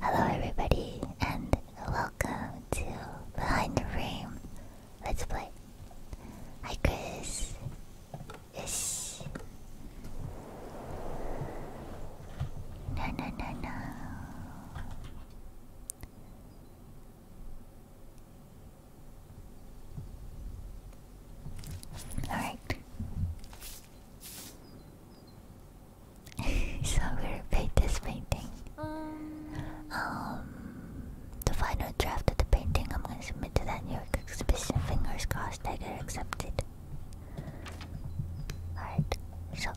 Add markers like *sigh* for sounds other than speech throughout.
Hello, everybody, and welcome to Behind the Frame Let's Play. Hi, Chris. Yes. No, no, no, Alright. *laughs* so we're this painting. Um. um, the final draft of the painting I'm gonna submit to that New York exhibition. Fingers crossed I get accepted. Alright, so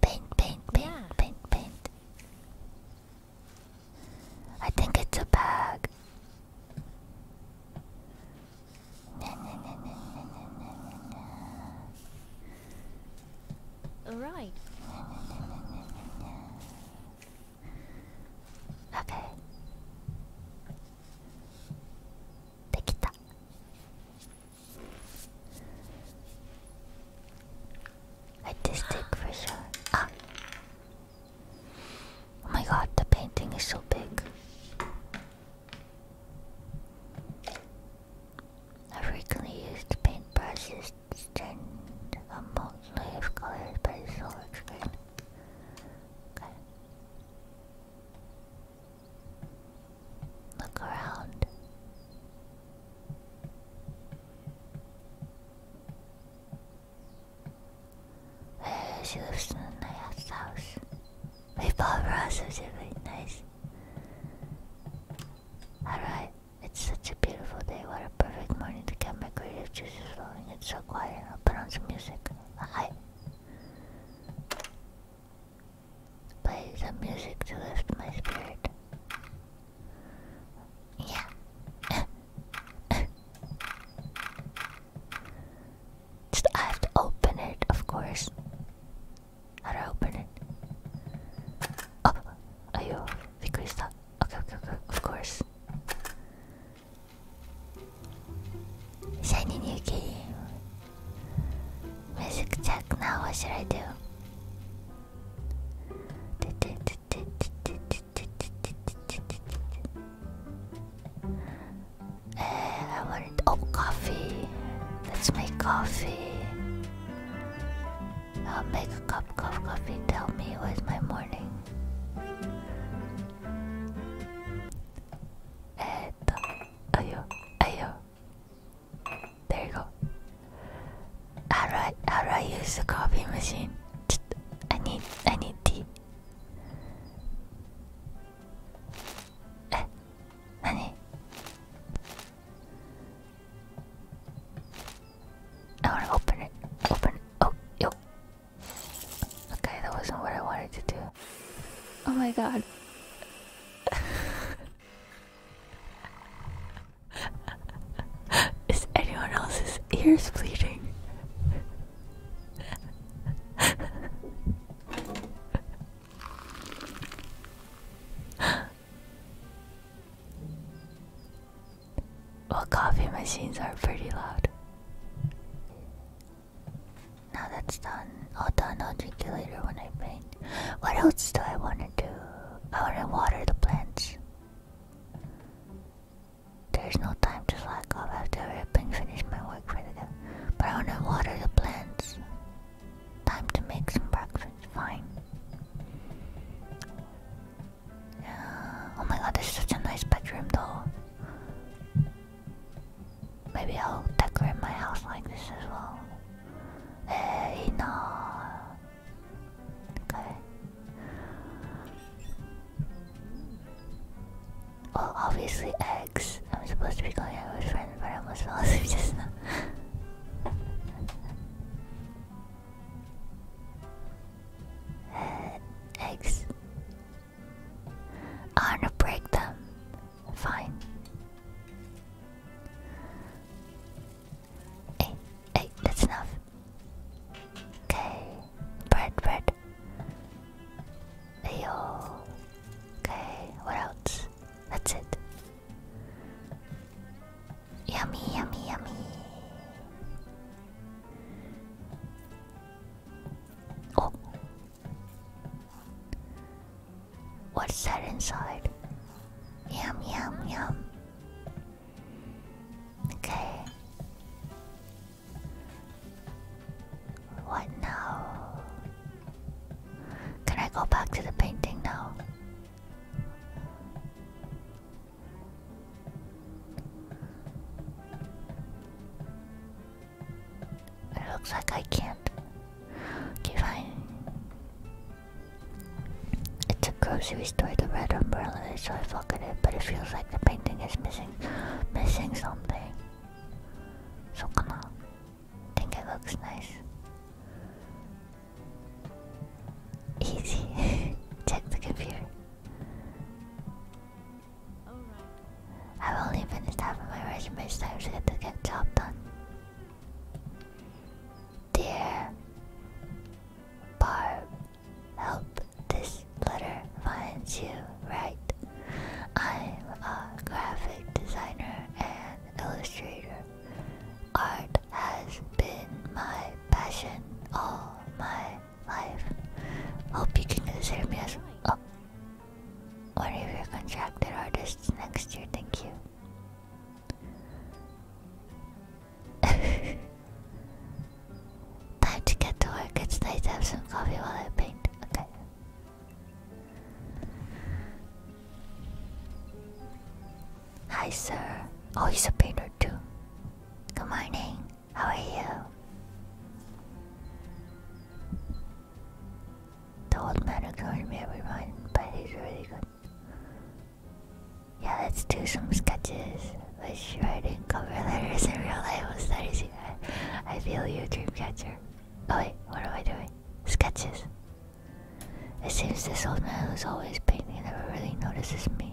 paint, paint, paint, paint, paint. I think it's a bag. Alright. Okay. Dekita. Artistic for sure. Ah. Oh my god, the painting is so big. I frequently used paintbrushes to stain a multitude of colors by the screen. Look around. Uh, she lives in a house. We bought roses, really nice. Alright, it's such a beautiful day. What a perfect morning to get my creative juices flowing. It's so quiet. I'll put on some music. Hi. Play some music to lift my spirit. Yeah. *laughs* Just I have to open it, of course. How do I open it? Oh, ayo, because Okay, okay, okay, of course. Shiny new game. Music check now. What should I do? Eh, I want oh coffee. Let's make coffee. I'll make a cup of coffee. Tell me was my morning. Eto. Ayo. Ayo. There you go. How do I, how do I use the coffee machine? I need I need tea. え何 I want to open it. Open it. Oh, yo. Okay, that wasn't what I wanted to do. Oh my god. Is anyone else's ears bleeding? well, coffee machines are pretty loud. Now that's done. I'll done. I'll drink it later when I paint. What else do I want to do? I want to water the plants. There's no time to slack off after I've been finished my work for the day. But I wanna water the plants. Time to make some breakfast. Fine. oh my god, this is such a nice bedroom though. Maybe I'll decorate my house like this as well. Hey, no. Okay. Well, obviously eggs. I'm supposed to be going out with friends, but I am *laughs* fell asleep just uh, eggs. I wanna break them. Fine. Hey, hey, that's enough. Okay, bread, bread. Ayo. Okay, what else? That's it. Yummy, yummy, yummy. Oh. What's that inside? Yum, yum, yum. Okay. What now? Can I go back to the painting now? It looks like I can't. Okay, fine. It's a grocery store, the red umbrella is so I fuck at it, but it feels like the painting is missing missing something. So come on. I think it looks nice. Easy. *laughs* Check the computer. right. I've only finished half of my resume, so I get to job done. Dear Barb, help this letter finds you right I'm a graphic designer and illustrator. Art has been my passion all my life. Hope you can consider me as oh, one of your contracted artists next year. Thank you. *laughs* Time to get to work. It's nice to have some coffee while I paint. Okay. Hi, sir. Oh, he's a painter too. Good morning. How are you? The old man ignored me, everyone, but he's really good. Yeah, let's do some sketches. Let's writing cover letters in real life was that I feel you, dreamcatcher. Oh wait, what am I doing? sketches. It seems this old man who's always painting never really notices me.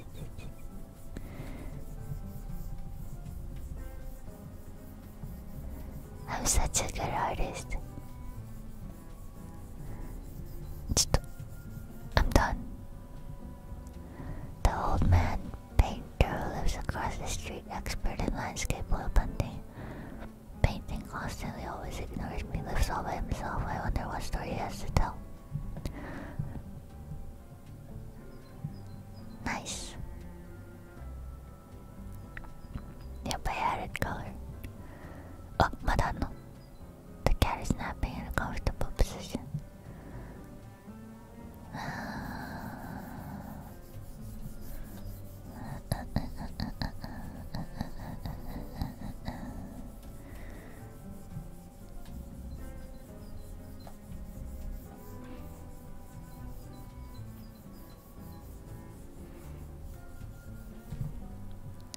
I'm such a good artist. I'm done. The old man painter lives across the street, expert in landscape oil painting. Painting constantly always ignores me, lives all by himself. I wonder what story he has to tell. Nice. Yep, I added color. Oh, Madano. The cat is a comfortable position. Uh,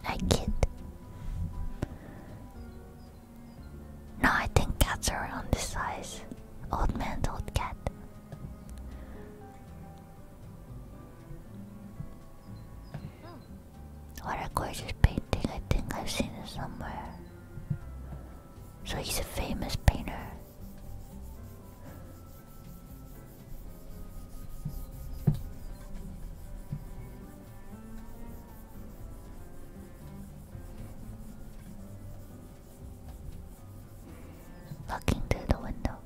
Hi, kid. No, I think cats are around this size. Old man, old cat. Hmm. What a gorgeous painting. I think I've seen it somewhere. So he's a famous painter. Looking through the window,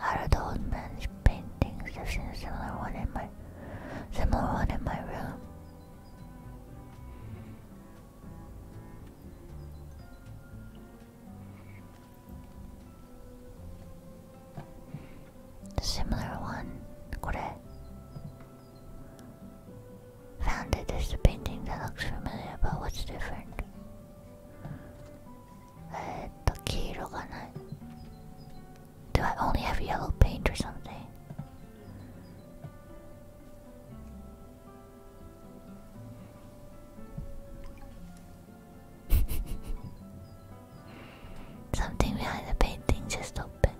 out of the old man's a similar one in my Similar one in my room. Similar one. これ Found it as a painting that looks familiar but what's different? えっと、黄色がない。Uh, do I only have yellow paint or something? *laughs* something behind the painting just opened.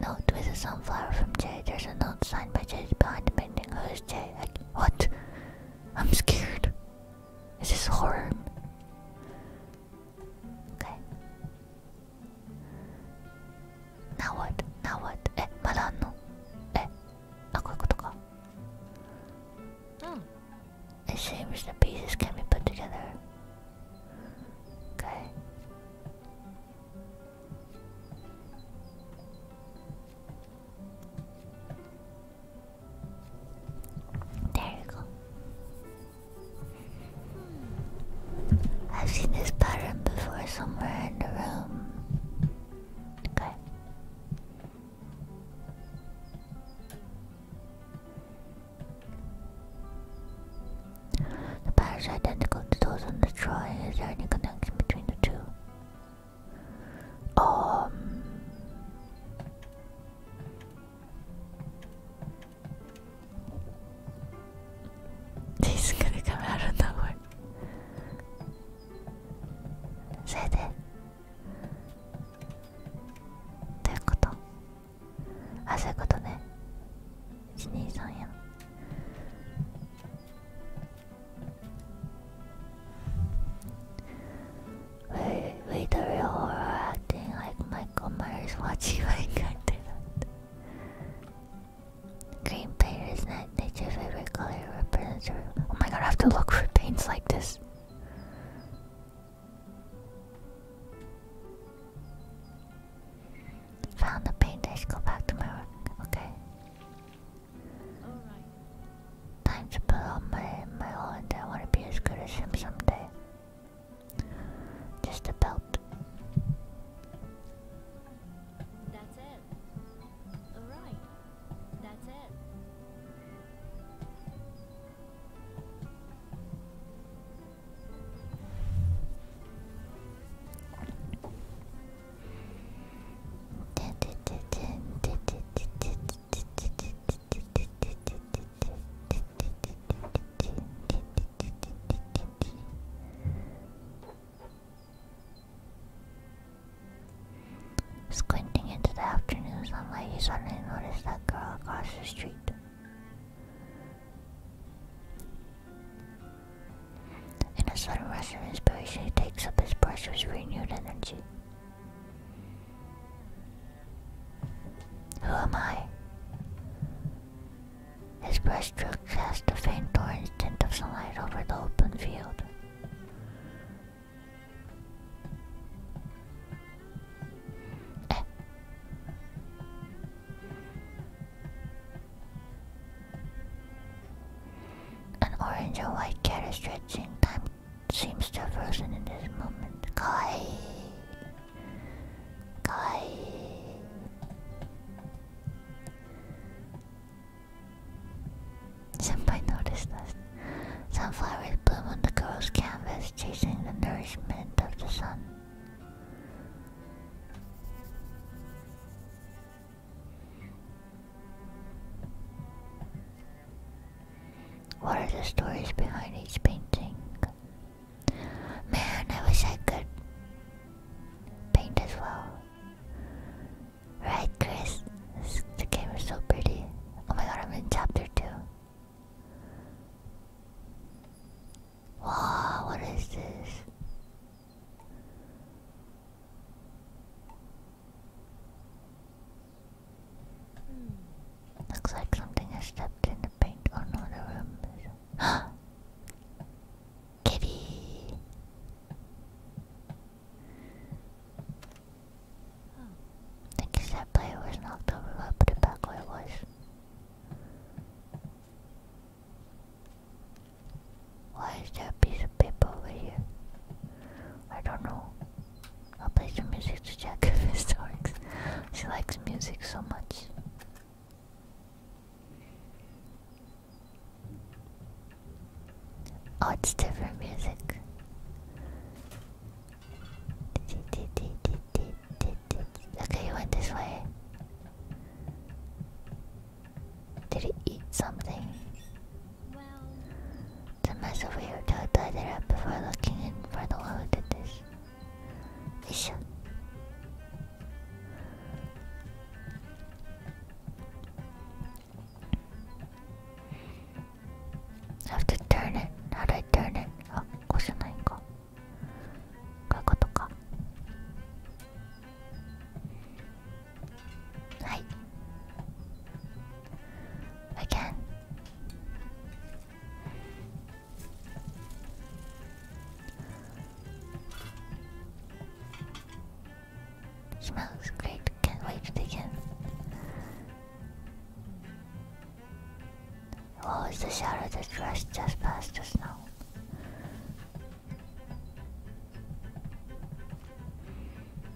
Note with a sunflower from Jay. There's a note signed by Jay behind the painting. Who's Jay? I, what? I'm scared. Is this horror? Okay. Now what? Now what? Eh, Eh? まだあんのえ、あ、こういうことか。It hmm. seems the pieces can be put together. Okay. There you go. I've seen this pattern before somewhere in the room. Okay. The pattern is identical to those on the drawing. Is there any connection between the two? Um, this is gonna come out of nowhere. それでどういうことあそういうことね123や Wait! we the real horror acting like Michael Myers watching my content? Green paint is not nature's favorite color represents Oh my god, I have to look for paints like this. Found the paint, I should go back to my work. Okay. Time to put on my, my old. I want to be as good as him someday. Just a belt. That's it. Squinting into the afternoon sunlight, he suddenly noticed that girl across the street. In a sudden rush of inspiration, he takes up his brush with renewed energy. Who am I? His breaststroke cast a faint orange tint of sunlight over the open field. Eh. An orange and white cat stretching time seems to have risen in this moment. Kai! Kai! Senpai noticed us. Sunflowers bloom on the girl's canvas, chasing the nourishment of the sun. What are the stories behind each painting? Man, I wish I could paint as well. Right, Chris? the game is so pretty. Oh my god, I'm in chapter 2. Wow, what is this? Hmm. Looks like something has stepped in the paint. Oh the room is. *gasps* Kitty! think it's that player was knocked over, I put back where was. Why is there a piece of paper over here? I don't know. I'll play some music to check *laughs* if this works. She likes music so much. Oh, it's different music. Okay, he went this way. Did he eat something? The massive weirdo tied her up before looking in for the one who did this. Isha. I have to turn it. How do I turn it? Oh, こうじゃないか。こういうことか。はい again Smells great, can't wait to dig in. What the shadow that rushed just past the snow?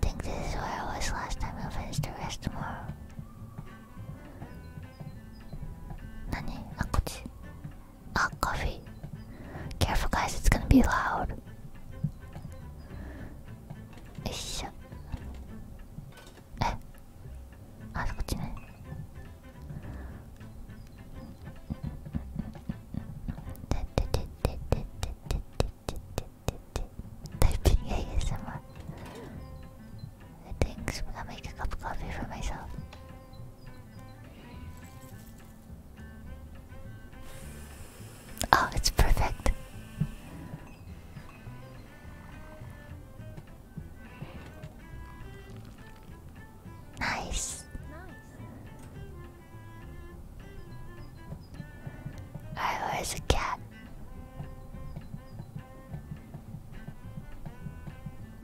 Think this is where I was last time. I'll finish the rest tomorrow. 何あこっちあ、コーヒー Careful guys, it's gonna be loud いしょえあそこっちねででででででででででタイピング ASMR I think I'm making a cup of coffee for myself Oh, it's perfect. Nice. where's the cat?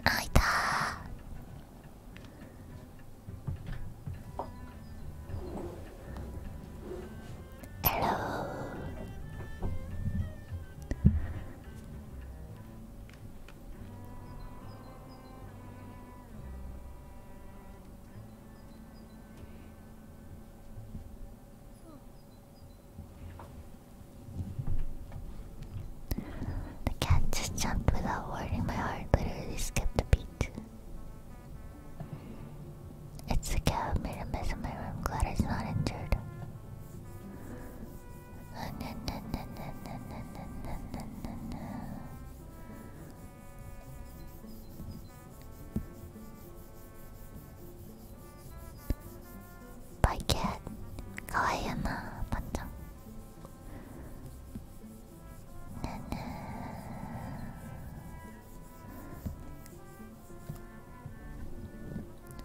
Aita! Hello. The cat just jumped without warning my heart, literally skipped a beat. It's the cat made a mess in my room. Glad it's not injured. Bye cat. Kawaii uh, na,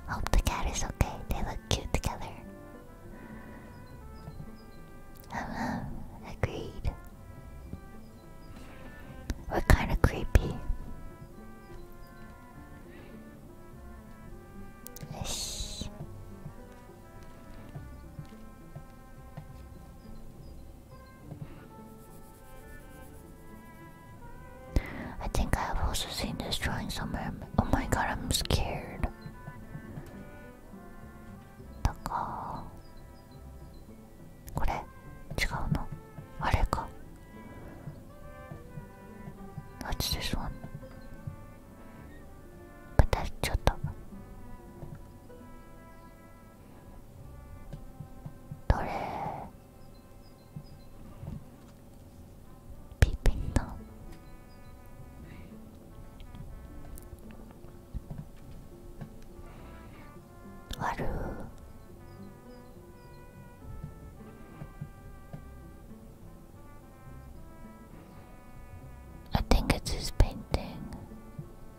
Hope the cat is okay. They look cute together. Uh, agreed. we kind of creepy. Ish. I think I have also seen this drawing somewhere. Oh my god, I'm scared. The call. this one But that's どれピピンだわるー I think it's his painting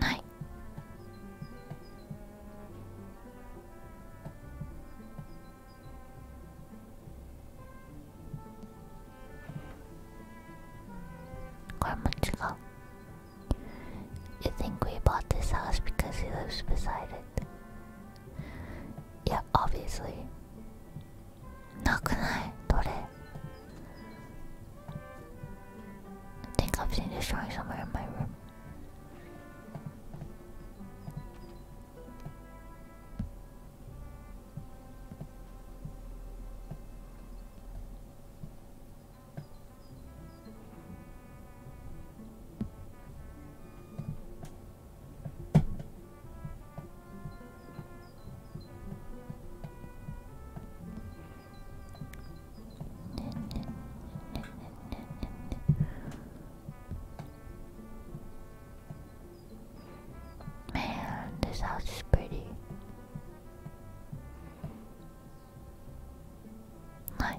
ないこれも違う You think we bought this house because he lives beside it? Yeah, obviously. なくないどれ I think I've seen this drawing somewhere in my room. Man, this house is pretty. Hi.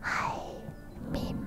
Hi, Meme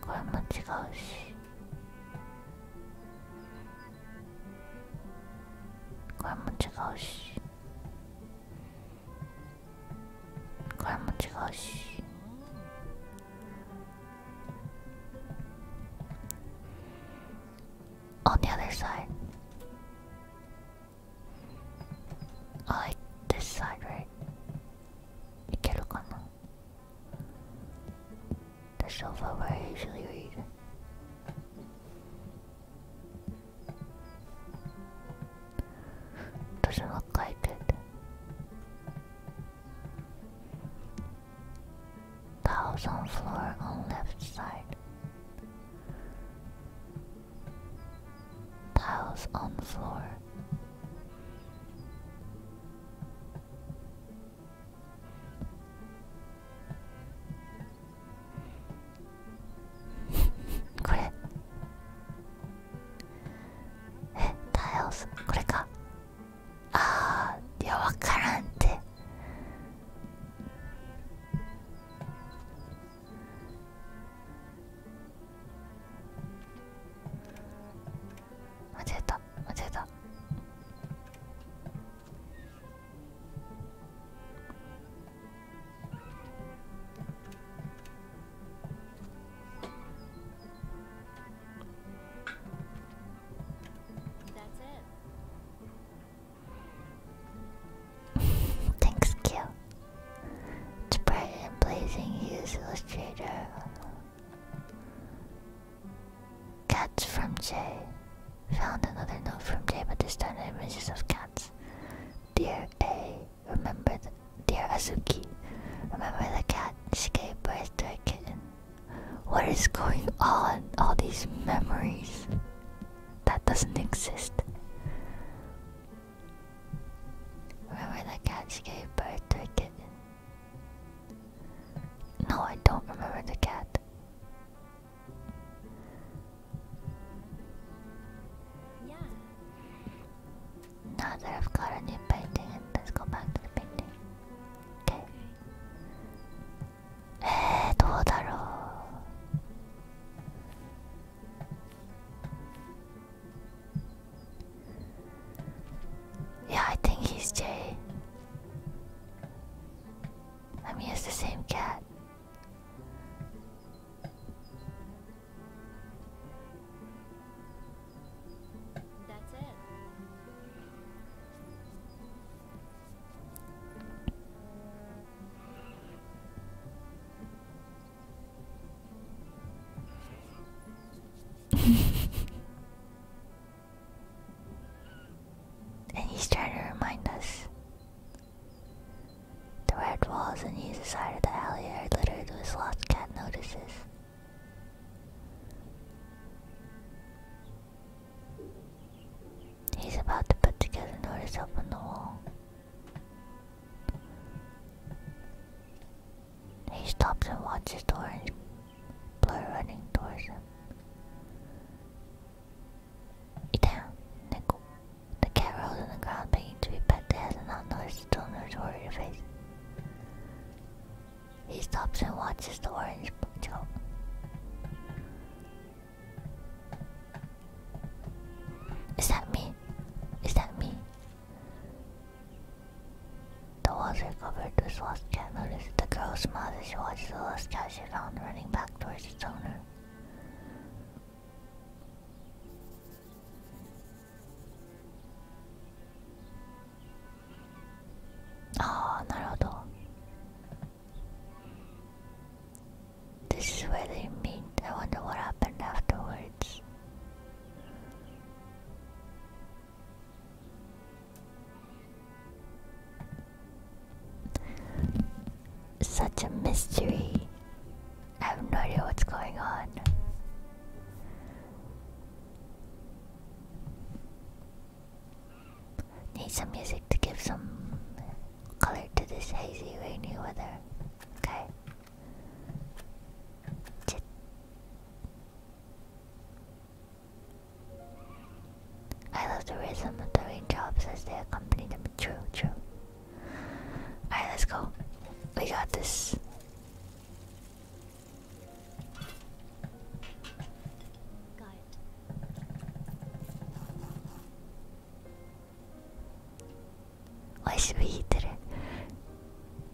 これも違うしこれも違うしこれも違うしおにゃでさい I this side right いけるかな The sofa where I usually read. Doesn't look like it. The house on floor on left side. Tiles on floor. これえタイオスこれかあーいやわからんって間違えた間違えた Thanks, *laughs* Q. It's bright and blazing. He is illustrator Cats from J Found another note from Jay, but this time the images of cats. Dear A, remember the dear Azuki. Remember the cat. She gave birth to a kitten. What is going on? All these memories. That doesn't exist. Remember the cat escape gave birth to a kitten. No, I don't remember the cat. Now that I've got a new painting, let's go back to the painting. Okay. Eh, Dodaro. Yeah, I think he's Jay. I mean, it's the same cat. That's it. *laughs* and he's trying to remind us. The red walls on either side of the alley are littered with lost cat notices. He's about to put together notice up on the wall. He stops and watches the orange blur running towards him. Damn, Nickel. The cat rolls on the ground, begging to be pet. It not noticed the owner's worried face. He stops and watches the orange jump. Is that me? Is that me? The water covered the lost cat noticed the girl's mouth as she watched the lost cat she found running back towards its owner. Ah, oh, Naruto. This is what they mean. I wonder what happened afterwards. Such a mystery. I have no idea what's going on. Need some music to give some color to this hazy, rainy weather. Okay. I love the rhythm of the jobs as they accompany me. True, true. Alright, let's go. We got this. Got it.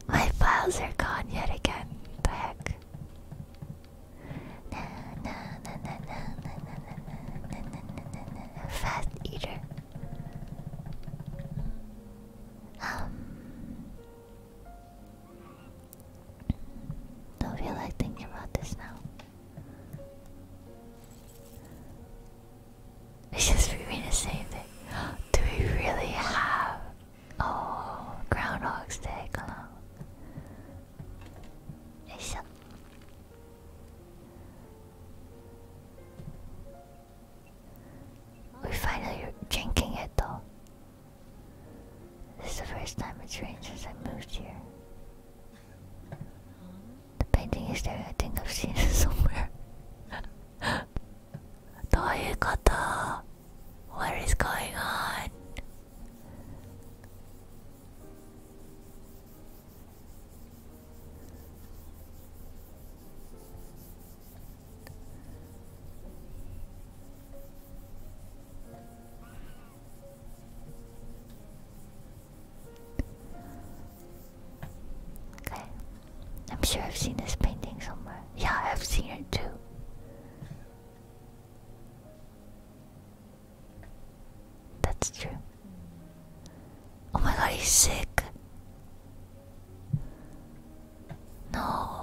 My files are gone yet again. The heck. Fast eater. Um. Don't feel like thinking about this now. It's just for me to save it. Do we really have Oh, Groundhog's Day, hello. We're finally drinking it though. This is the first time it's rained since I moved here. The painting is there, I think I've seen it *laughs* somewhere. どういうこと *laughs* What is going on? Okay. I'm sure I've seen this painting somewhere. Yeah, I've seen it too. That's true. Oh my god, he's sick. No.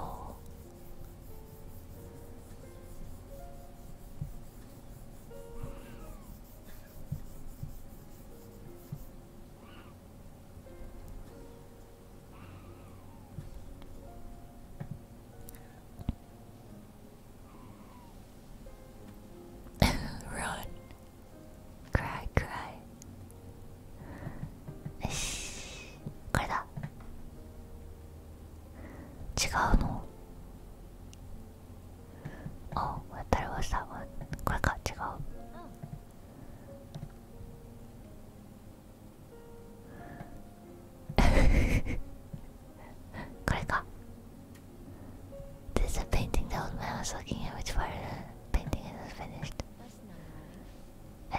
*laughs* Run. Cry, cry. よしこれだ違うの Oh, I thought it was that one. これか違う。これか This is a painting that old man was looking at which part of the painting is finished え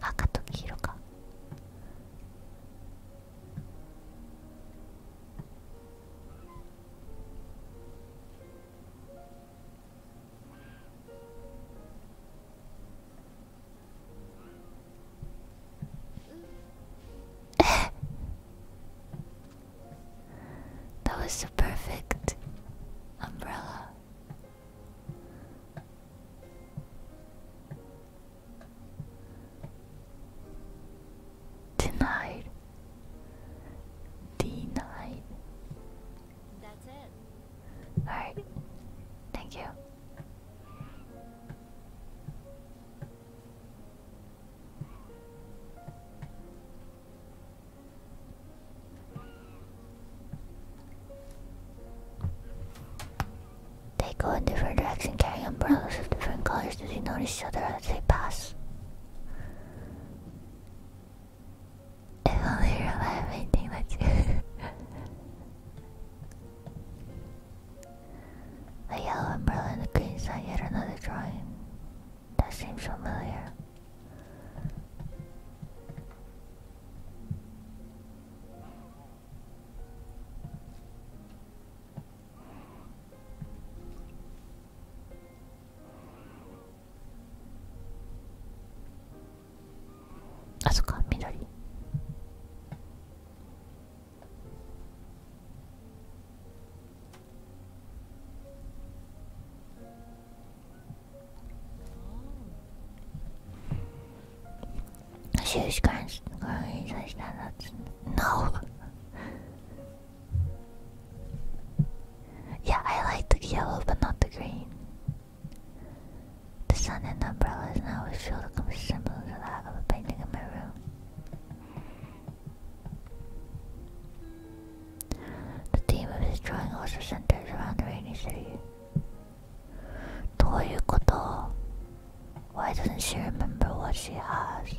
赤と黄色か *laughs* that was the perfect umbrella. Denied. Denied. That's it. Alright. Thank you. They go in different directions carrying umbrellas of different colors. Do they notice each other as they pass? If only revive, I think that's A yellow umbrella and the green sign, yet another drawing. That seems familiar. あそっか緑 she's going going to stand No. yeah, I like the yellow, but not the green. The sun and umbrellas and I a feel the similar to that of a painting in my room. The theme of his drawing also centers around the rainy city. どういうこと Why doesn't she remember what she has?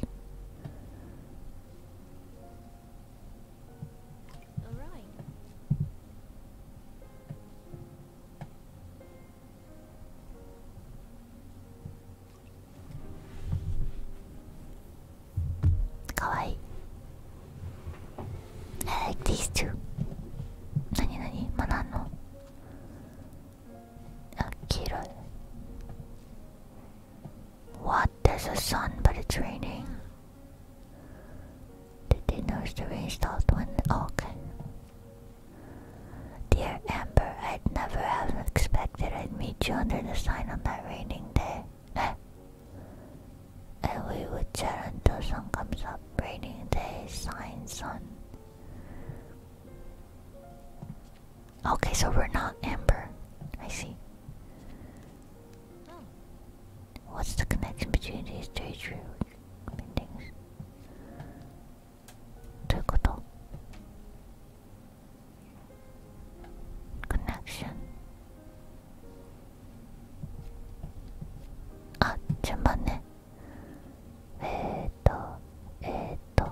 All right. I like these two. Nani nani? Manano. Akira. What? There's a sun, but it's raining. The dinner's the reinstalled one. Okay. Dear Amber, I'd never have expected I'd meet you under the sign on that raining day. *laughs* and we would chat until sun comes up. Raining day, sign, sun. Okay, so we're not Amber. I see. What's the connection between these two things? meanings? どういうこと Connection あ、順番ねえーと、えーと ah,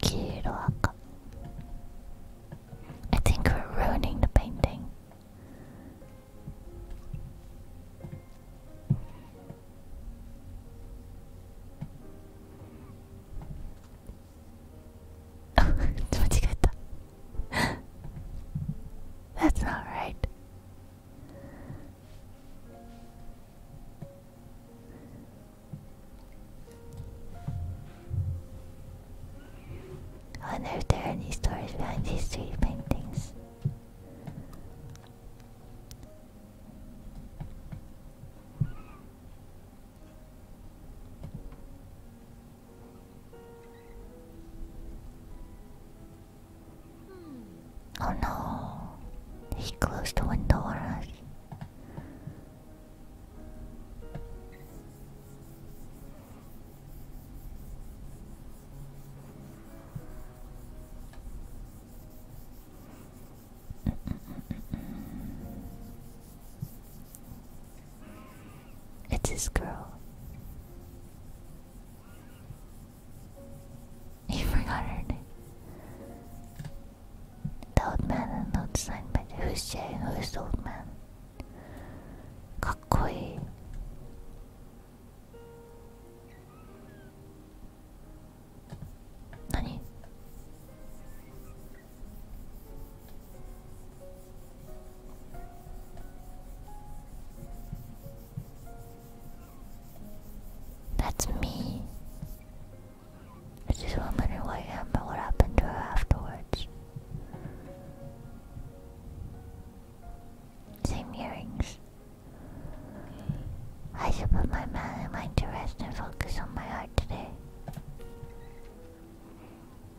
黄色赤 I think we're ruining the painting. *laughs* That's not right. I wonder if there are any stories behind these three paintings. Oh no, he closed the window on it's his girl. He forgot her name. old man old sign, but who's Jay? Who's old man? Kakoi. Nani? That's me. I just who I am and what happened to her afterwards. Same earrings. I should put my man in mind to rest and focus on my heart today. え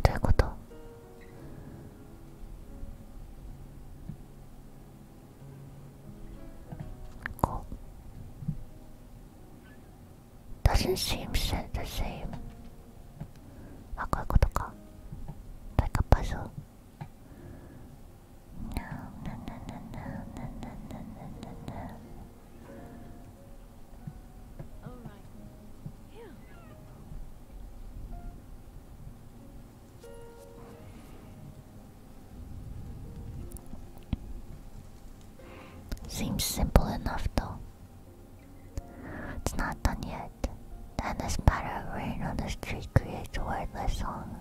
どういうことこう Doesn't seem the same あこういうことか。Like a puzzle no, no, no, no, no, no, no, no, no, no, All right. Here. Seems simple enough though. It's not done yet. Then the spatter of rain on the street creates a wordless song.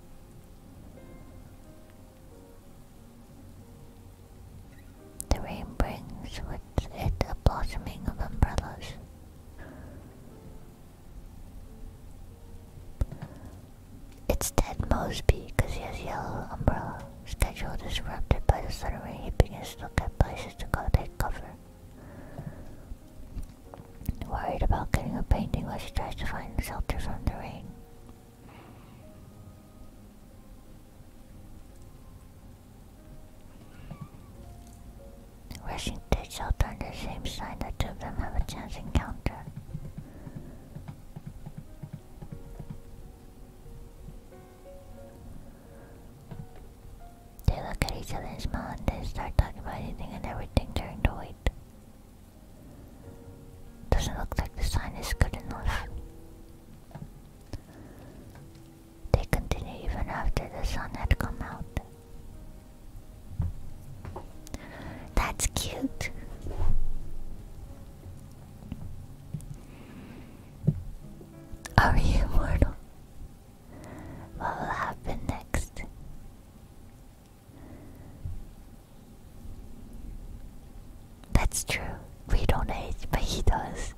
The rain brings with it a blossoming of umbrellas. It's Ted Mosby because he has yellow umbrella. Schedule disrupted by the sudden rain. He begins to look at places to go take cover. Worried about getting a painting while she tries to find shelter from the rain. Rushing to shelter under the same sign that two of them have a chance encounter. They look at each other and smile and then start talking about anything and everything during the wait. Doesn't look like the sign is good enough. They continue even after the sun had come out. That's cute. Are you immortal? What will happen next? That's true. We don't age, but he does.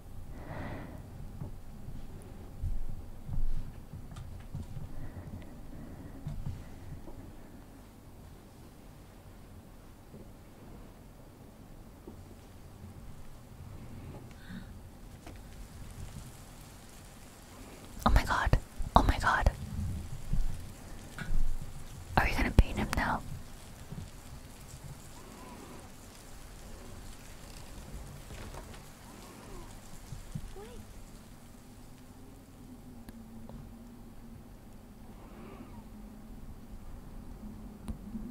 Oh my god. Oh my god. Are we gonna beat him now?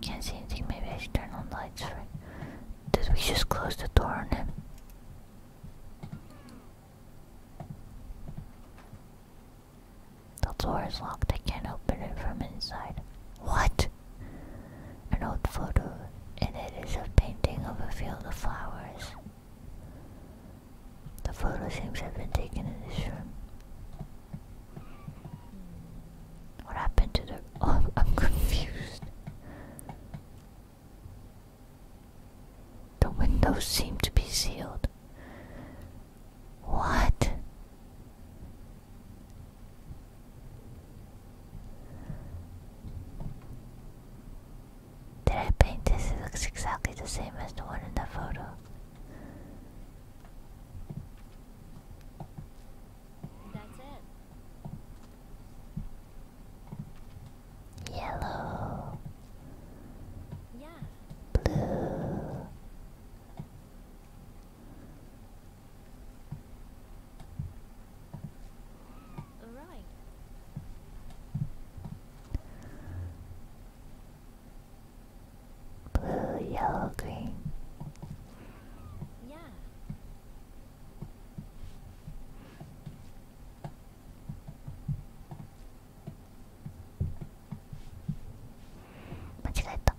Can't see anything, maybe I should turn on the lights Did we just close the door on him? The door is locked, I can't open it from inside. What? An old photo. and it is a painting of a field of flowers. The photo seems to have been taken in this room. What happened to the. *laughs* Oh, I'm confused. The windows seem to be sealed. What? Did I paint this? It looks exactly the same as the one in the photo. That's it. Yellow. Yeah. Blue. Right. Blue, yellow, green. Yeah. 間違えた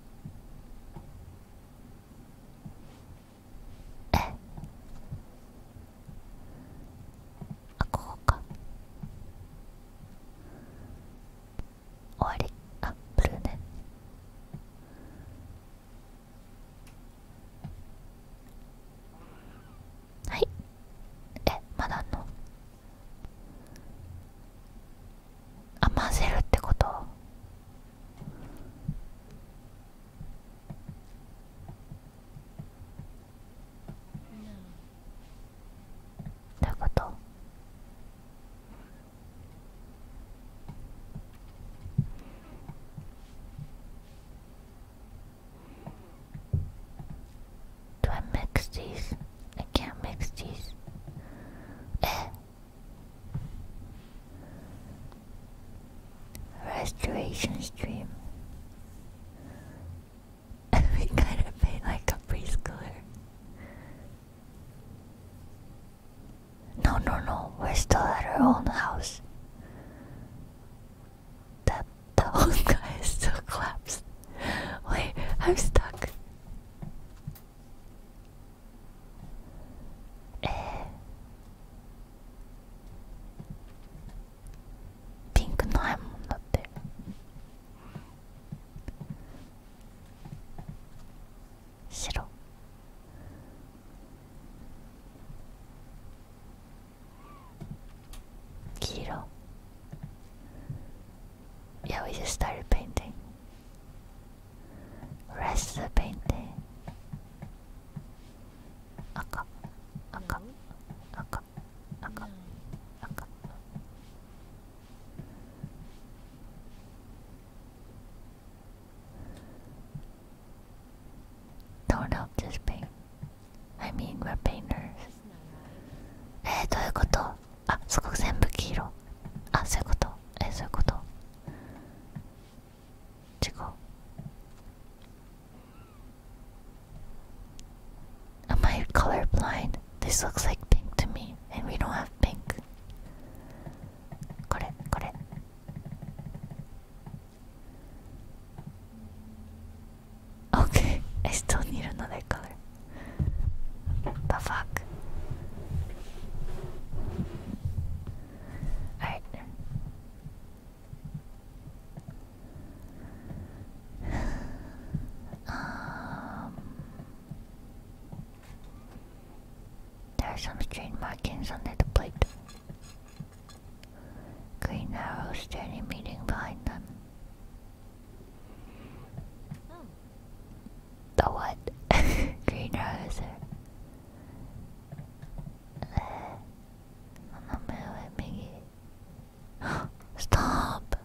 えあここか終わりアップルーねはいえまだあのあ混ぜるってことどういうこと Do I mix these? I can't mix these. Eh. Restoration stream. *laughs* we kind of paint like a preschooler. No, no, no. We're still at our own house. That *laughs* those guy still collapsed. Wait, I'm stuck. Eh. Pink nine not there. Shiro. Kiro. Yeah, we just started painting. Rest the painting. Aka, aka, aka, aka, aka. Don't help this paint. I mean, we're painters. えー、どういうことあ、すごく全部黄色。あ、そういうことえー、そういうこと違う。Am I colorblind? This looks like pink to me, and we don't have pink. これ、これ。Okay, I still need another color. The fuck? Um, there are some strange markings under the plate. Green arrows standing meeting behind them. The what? *laughs* Green Arrow there. I'm not Miggy. Stop!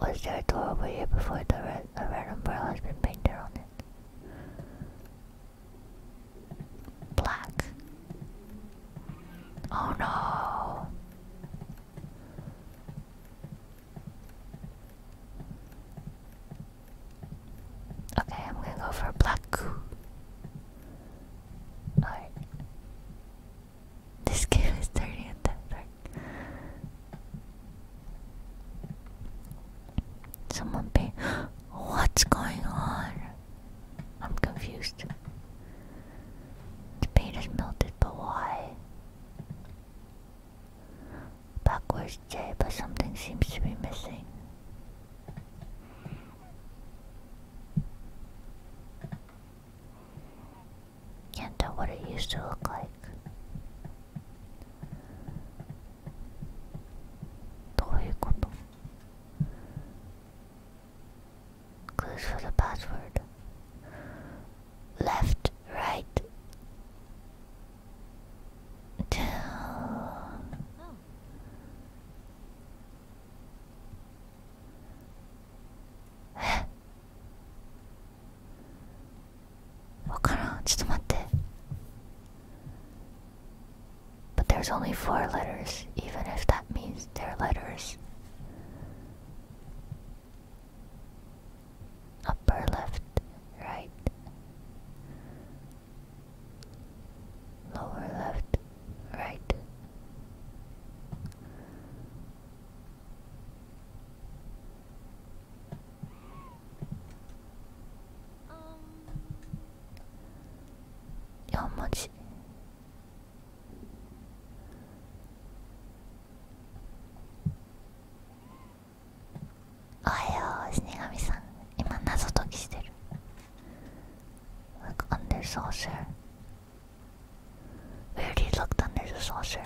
Was there a door over here before the red, the red umbrella has been painted on it? Black. Oh no. Okay, I'm gonna go for black. Alright. This *laughs* game is dirty dark. Someone pay. What's going on? I'm confused. The paint is melted, but why? Backwards J, but something seems to be missing. Can't tell what it used to look like. どういうこと Clues for the password Left, right わからんちょっと待って But there's only four letters even if that means they're letters Upper left, right Lower left, right 4文字おはよう死神さん今謎解きしてる Look under saucer Where do you look under the saucer?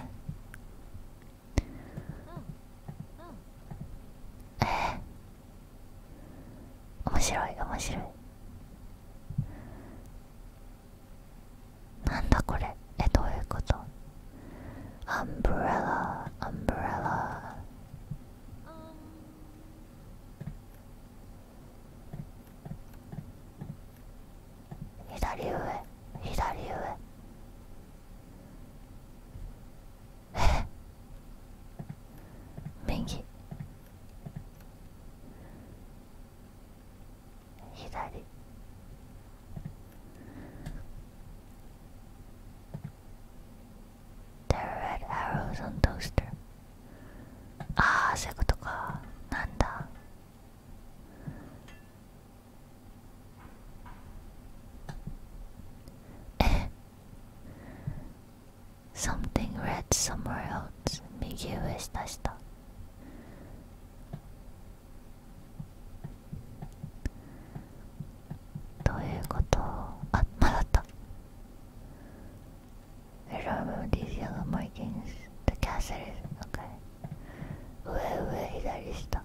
えー、面白い面白いなんだこれえどういうことアンブレラアンブレラ左上左上右左 The red arrows on toaster ああそういうことかなんだ ah, *laughs* Something red somewhere else. 右上下下どういうことあっ、まだった I don't remember these markings. The castle is okay. 上上左下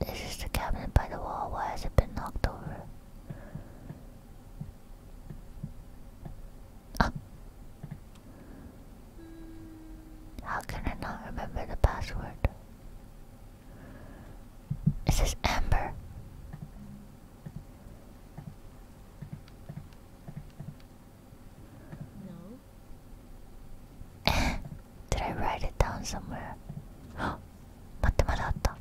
this is the cabinet by the wall. Why has it been knocked over? Ah. How can I not remember the password? This Is Amber? No. *gasps* Did I write it down somewhere? Oh, *gasps* 待ってまだあった。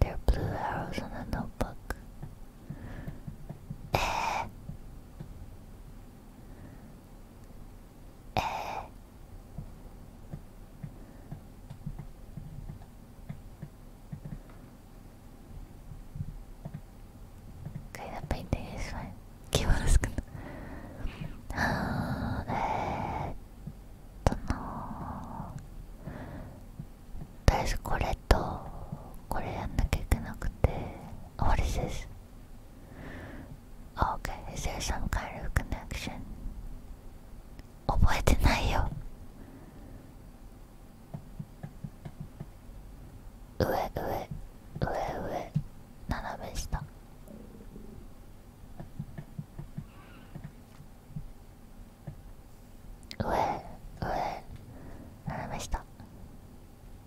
There are blue arrows on a notebook. Eh. えー、Kind 気はであーえっとなー。とりあえずこれとこれやんなきゃいけなくて終わりです。Okay, is there some kind of connection? 覚えてないよ上上上上斜め下上上斜め下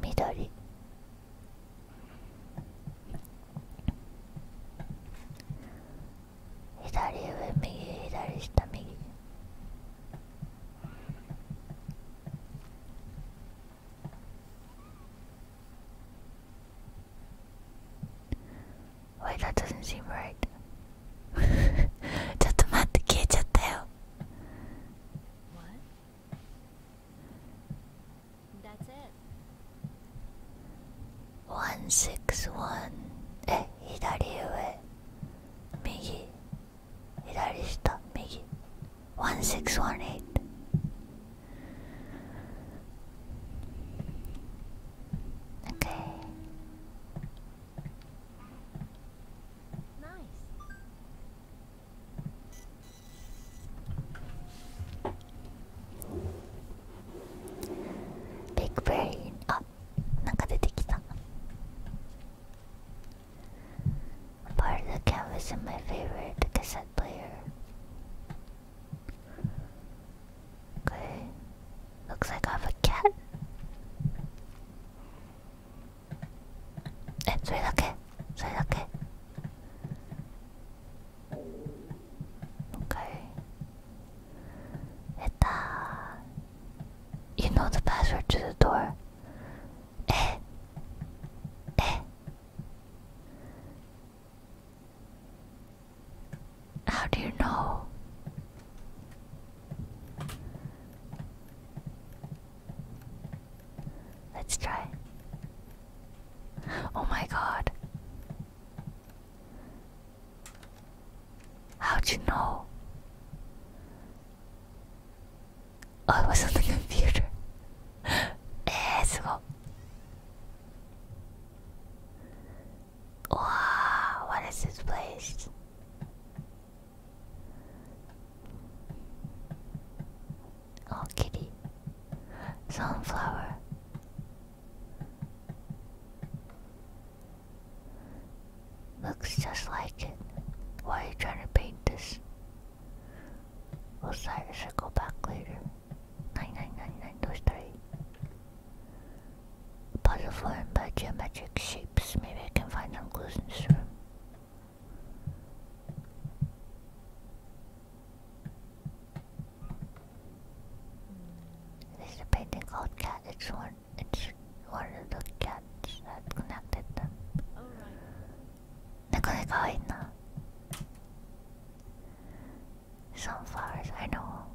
緑左上右左下右おい、that doesn't seem right ちょっと待って消えちゃったよ What? That's it. 161え左上右左下右1618 Nice. Big brain. あ、なんか出てきた。Part oh, of the canvas in my favorite cassette player. Okay. Looks like I have a cat. えそれだけそれだけもう一回えっと You know the password to the door えええ How do you know? Let's try. Oh my god. How'd you know? Oh, it was on the computer. *laughs* eh, すご。Wow, what is this place? Oh, kitty. Sunflower. Looks just like it. Why are you trying to paint this? We'll side I should go back later. 9999 those three. Puzzle formed by geometric shapes. Maybe I can find some clues in this room. This a painting Cat. It's one, it's one of the cats that connected them. Alright. Sunflowers, I know.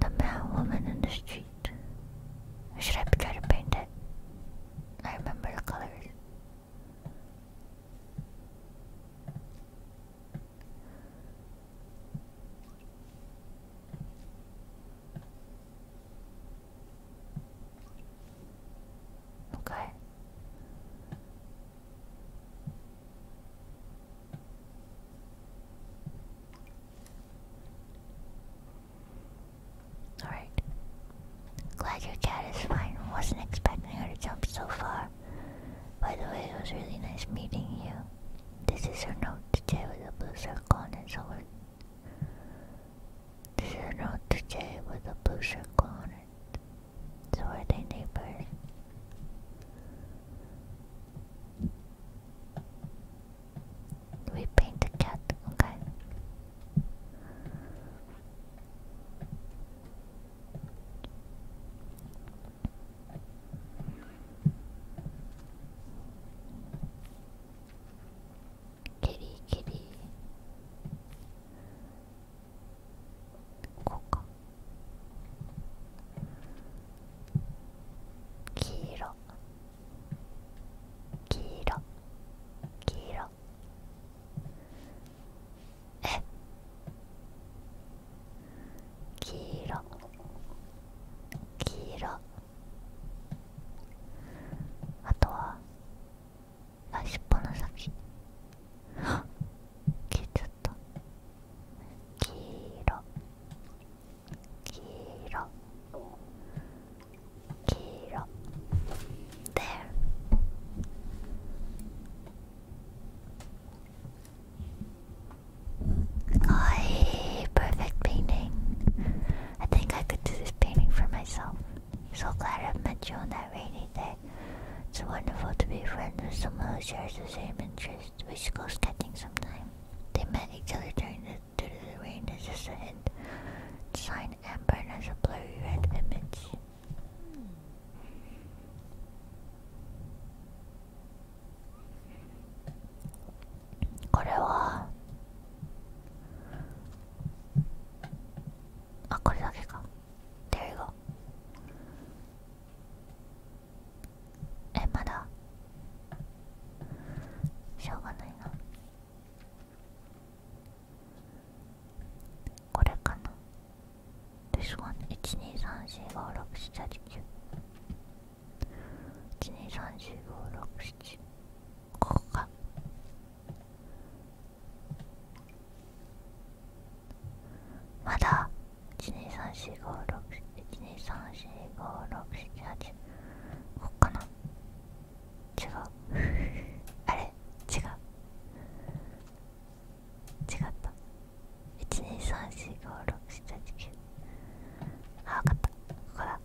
The mad woman in the street. should I try to paint it? I remember the colors. Okay. Alright. Glad your cat is fine. Wasn't expecting her to jump so far. By the way, it was really nice meeting you. This is her note to Jay with a blue shirt on its over. This is her note to Jay with a blue circle on it. So are they neighbors? We paint the cat, okay. Kitty, kitty. こうか黄色黄色黄色え黄色黄色あとはあっぽの先あ消えちゃっ There はい perfect painting I think I could do this painting for myself so glad I met you on that rainy day it's wonderful to be friends with someone who shares the same interests. We should go skating sometime. They met each other during the, to the rain. It's just a hint. Sign Amber as a blurry red image. Korewa. Ah, えまだしょうがないなこれかな This one 123456789 1234567ここかまだ123456123456789こっかな違う *laughs* あれ違う違った123456789あわかったここだ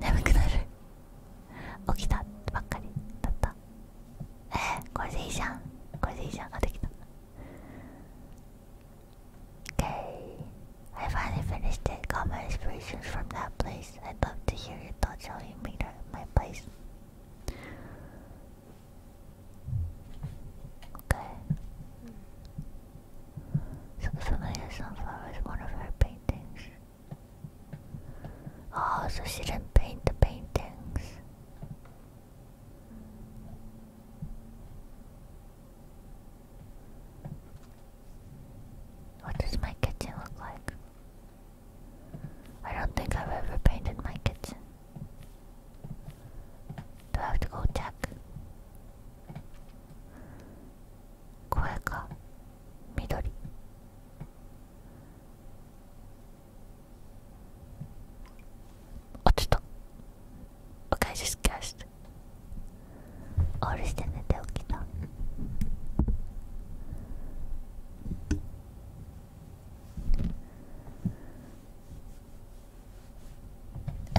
眠くなる起きたばっかりだったえー、これでいいじゃんこれでいいじゃんができた Okay, I finally finished it. Got my inspirations from that place. I'd love to hear your thoughts how you made it my place. Okay. Familiar Sunflower is one of her paintings. Oh, so she didn't paint the paintings. What does my kitchen look like? I don't think I've ever painted my kitchen. Do I have to go check? 声が緑落ちた Okay, just g オールして寝て起きた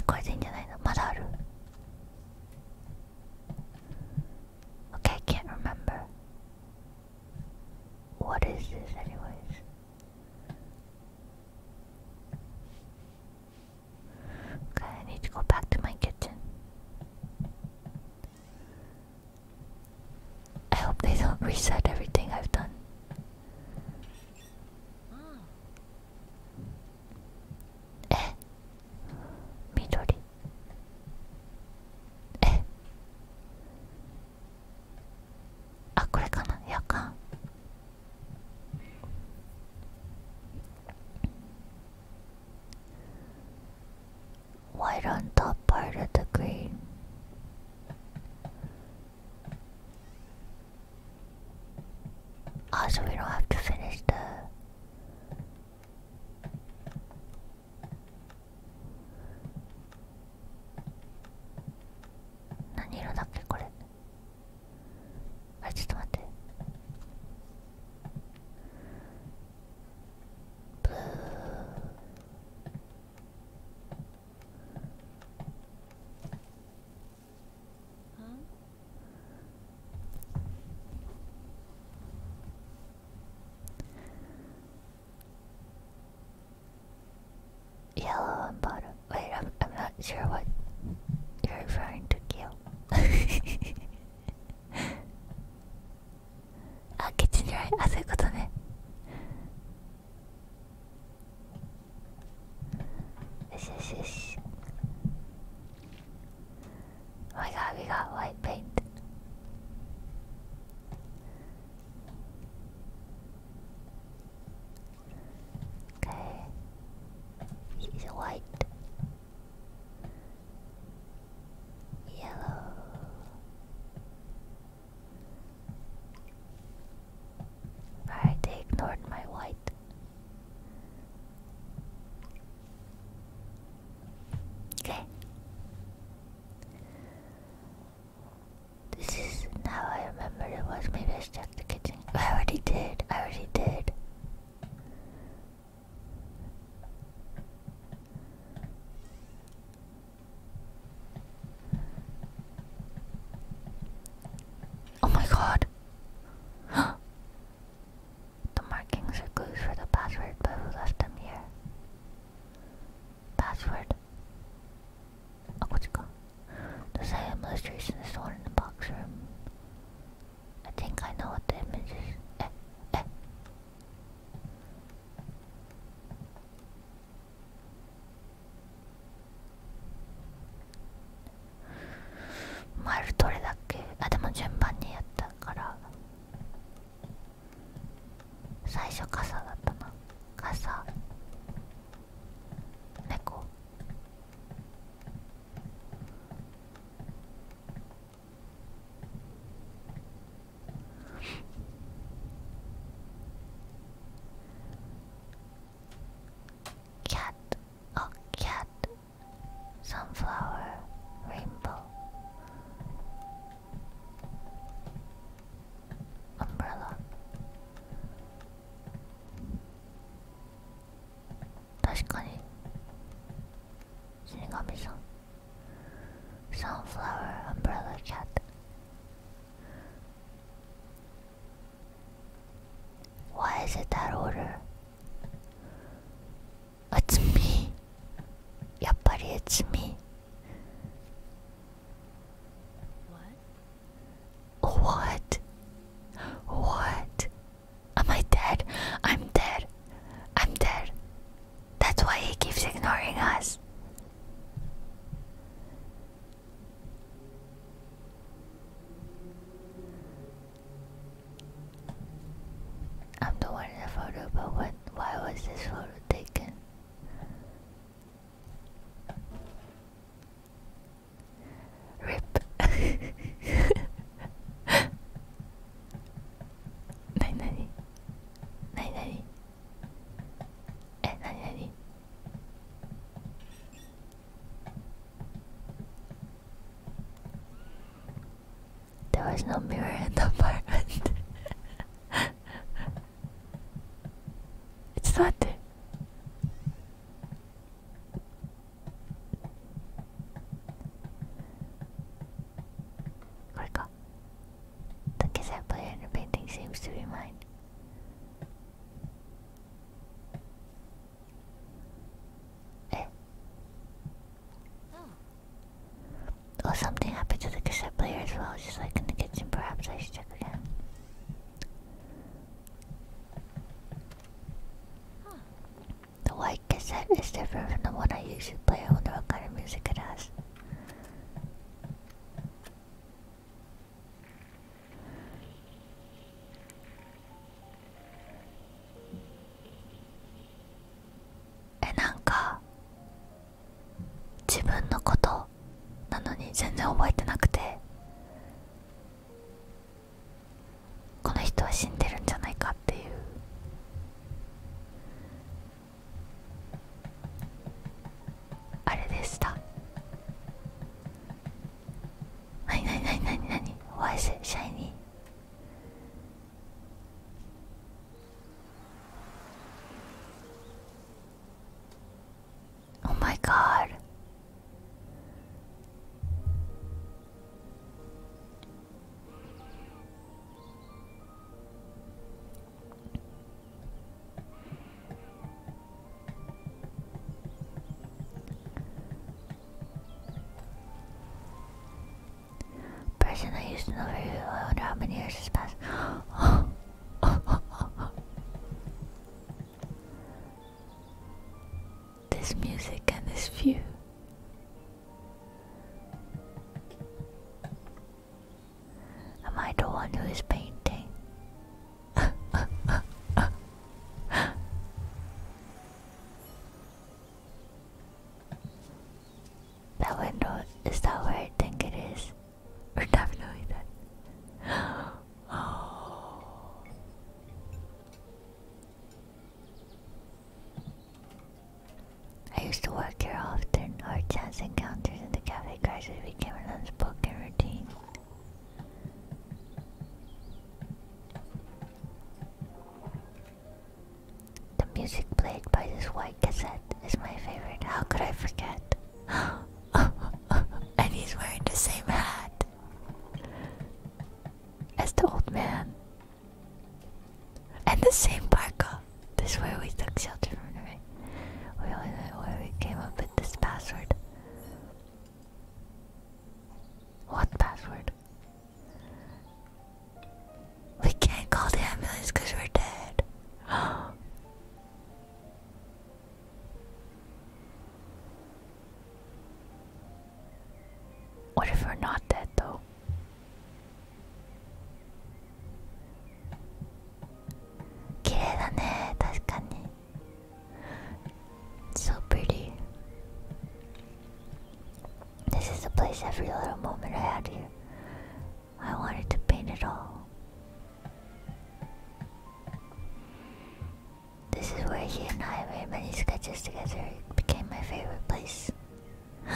これでいいんじゃないのまだある Okay, I can't remember. What is this, anyways? Okay, I need to go back to my kitchen. I hope they don't *laughs* reset everything I've done. Hmm. え緑えあこれかな夜間 white on top part of the green Ah, so we don't have to finish the. What color is this? あちょっと待ってブー Yellow and Wait, I'm, I'm not sure what you're referring to, Kill. *laughs* ah, kitchen right. Ah, そういうことね。よしよしよし。Oh my god, we got white paint. Okay. He's white. Yellow. Alright, they ignored my white. Okay. This is now I remember it was maybe I should the kitchen. *laughs* I already did. I already did. Oh my god. *gasps* The markings are clues for the password, but who left them here? Password. Oh, what's it called? The same illustration is stored in the box room. I think I know what the image is. Eh, eh. マイルどれだっけあでも順番にやったから最初傘だったな傘猫キャット a cat, sunflower, rainbow, umbrella. 確かに死神さん Sunflower Umbrella Cat why is it that order? It's me. Yappari, it's me. What? What? What? Am I dead? I'm dead. I'm dead. That's why he keeps ignoring us. I'm the one in the photo, but what? Why was this photo taken? Rip. Nani nani? Nani nani? Eh, nani nani? There was no mirror in the apartment. it's not there. Gorka. The cassette player in the painting seems to be mine. Eh. Oh, something happened to the cassette player as well, just like in the kitchen. Perhaps I should check again. Huh. The white cassette is different from the one I usually play. I wonder what kind of music it has. えなんか自分のことなのに全然覚えてなくてこの人は死んでるんじゃないかっていうあれでしたなになになになになに Why is it shiny? Oh my god. Person I used to know very I wonder how many years *laughs* has passed. this music and this view. Am I the one who is painting? *laughs* That window, is that where I think it is? We're definitely dead. *gasps* Oh. I used to work here often. Our chance encounters in the cafe crisis became an unspoken routine. The music played by this white cassette is my favorite. How could I forget? *laughs* and he's wearing the same hat as the old man. And the same parka. This way we took shelter from the rain. We only know where we came up with this password. What password? We can't call the ambulance because we're dead. *gasps* what if we're not dead though? so pretty. This is the place every little moment I had here. I wanted to paint it all. This is where he and I made many sketches together. It became my favorite place. *laughs*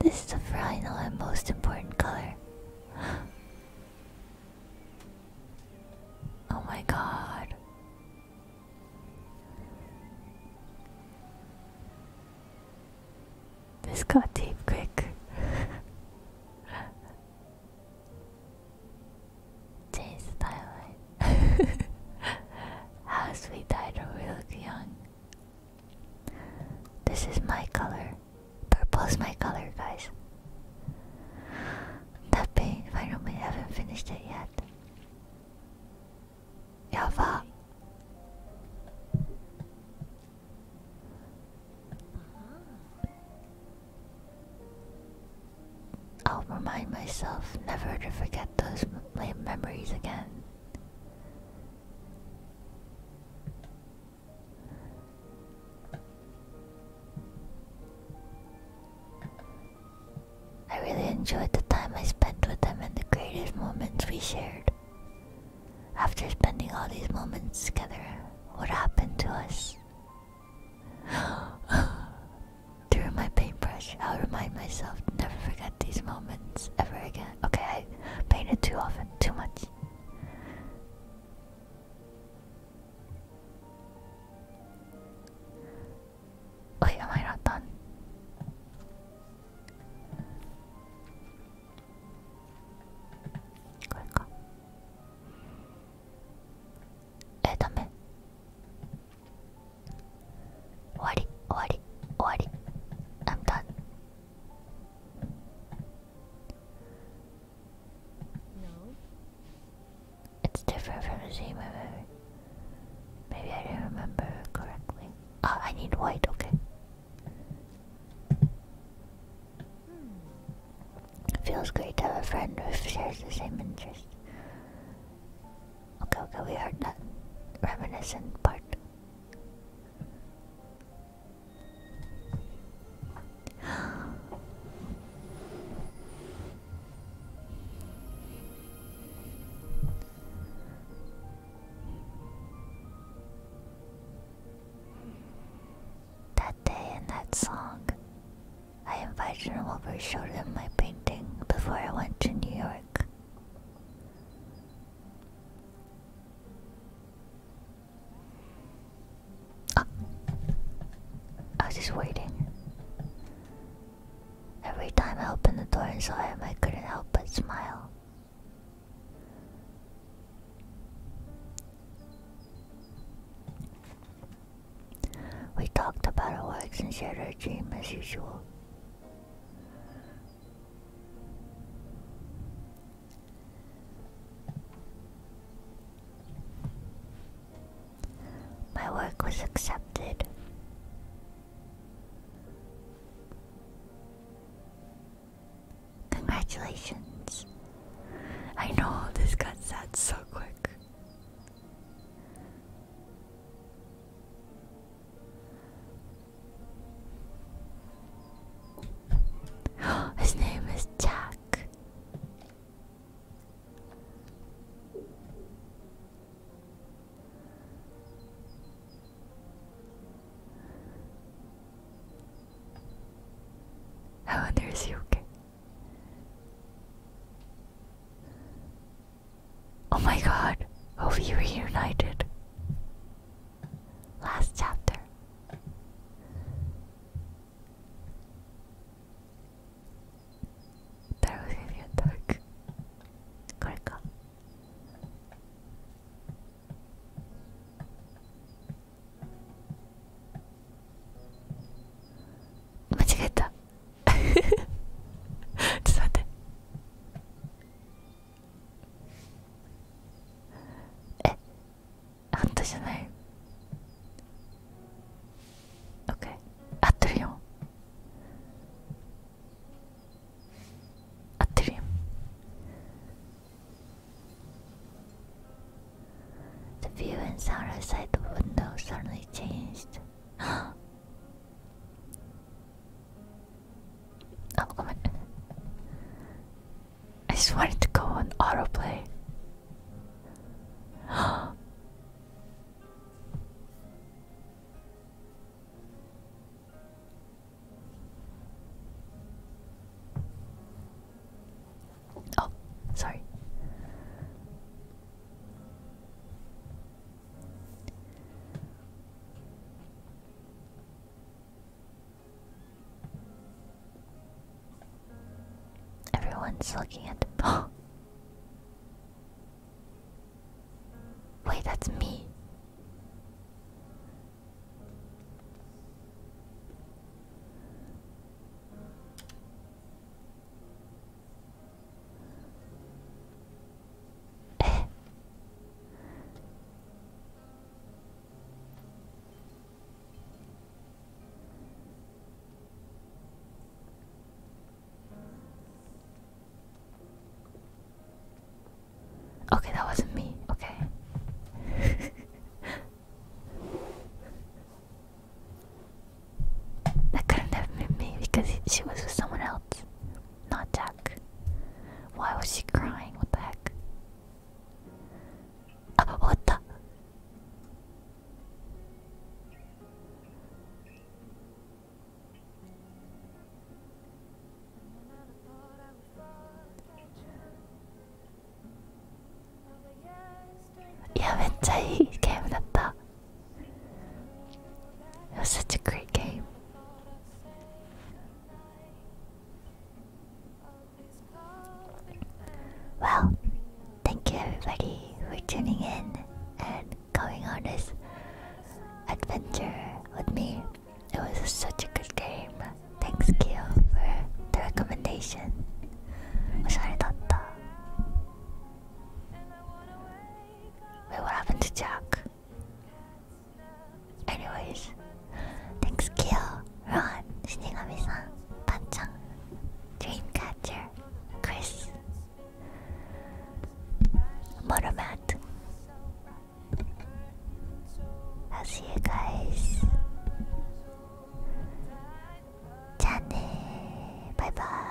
this is the final and most important color. Oh my god. This got deep quick. Change *laughs* the *laughs* How sweet died when we young. This is my color. Purple is my color, guys. That paint environment, haven't finished it yet. Yava. I'll remind myself never to forget those memories again. I really enjoyed the time I spent with them and the greatest moments we shared. After spending all these moments together, what happened to us? *gasps* Through my paintbrush, I'll remind myself never forget these moments ever again. Okay, I painted too often, too much. Wait, am I not done? これかえダメ終わり終わり終わり I'm done no. It's different from the same Maybe I do not remember correctly. Ah, I need white, okay. Hmm. Feels great to have a friend who shares the same interest. Okay, okay, we heard that reminiscent part that day and that song, I invited him over, showed him my painting before I went to New York. I was just waiting. Every time I opened the door and saw him, I couldn't help but smile. We talked about our works and shared our dreams as usual. My work was accepted. Congratulations. I know this got sad so quick. *gasps* His name is Jack. I wonder is Oh my god, oh we reunited. Last chapter. 太郎先生やったらこれか間違えた *laughs* ちっあったじゃない OK 合ってるよ合ってるよ The view and sound outside the window suddenly changed *gasps* あごめん I just wanted to go on autoplay. *gasps* oh, sorry. Everyone's looking at the *gasps* Wait, that's me. Eh. Okay, that wasn't me. Okay. *laughs* that couldn't have been me because she was with someone else, not Jack. Why was she crying? What the heck? あ終わったいやめっちゃいいゲームだった Well, thank you everybody for tuning in and going on this adventure with me. It was such a good game. Thanks, Kyo, for the recommendation. 잘했다. Wait, what happened Anyways, thanks Kill, Ron, Shinigami-san, Panchan, Dreamcatcher, Chris, Motomat. I'll see you guys. Jane, bye bye.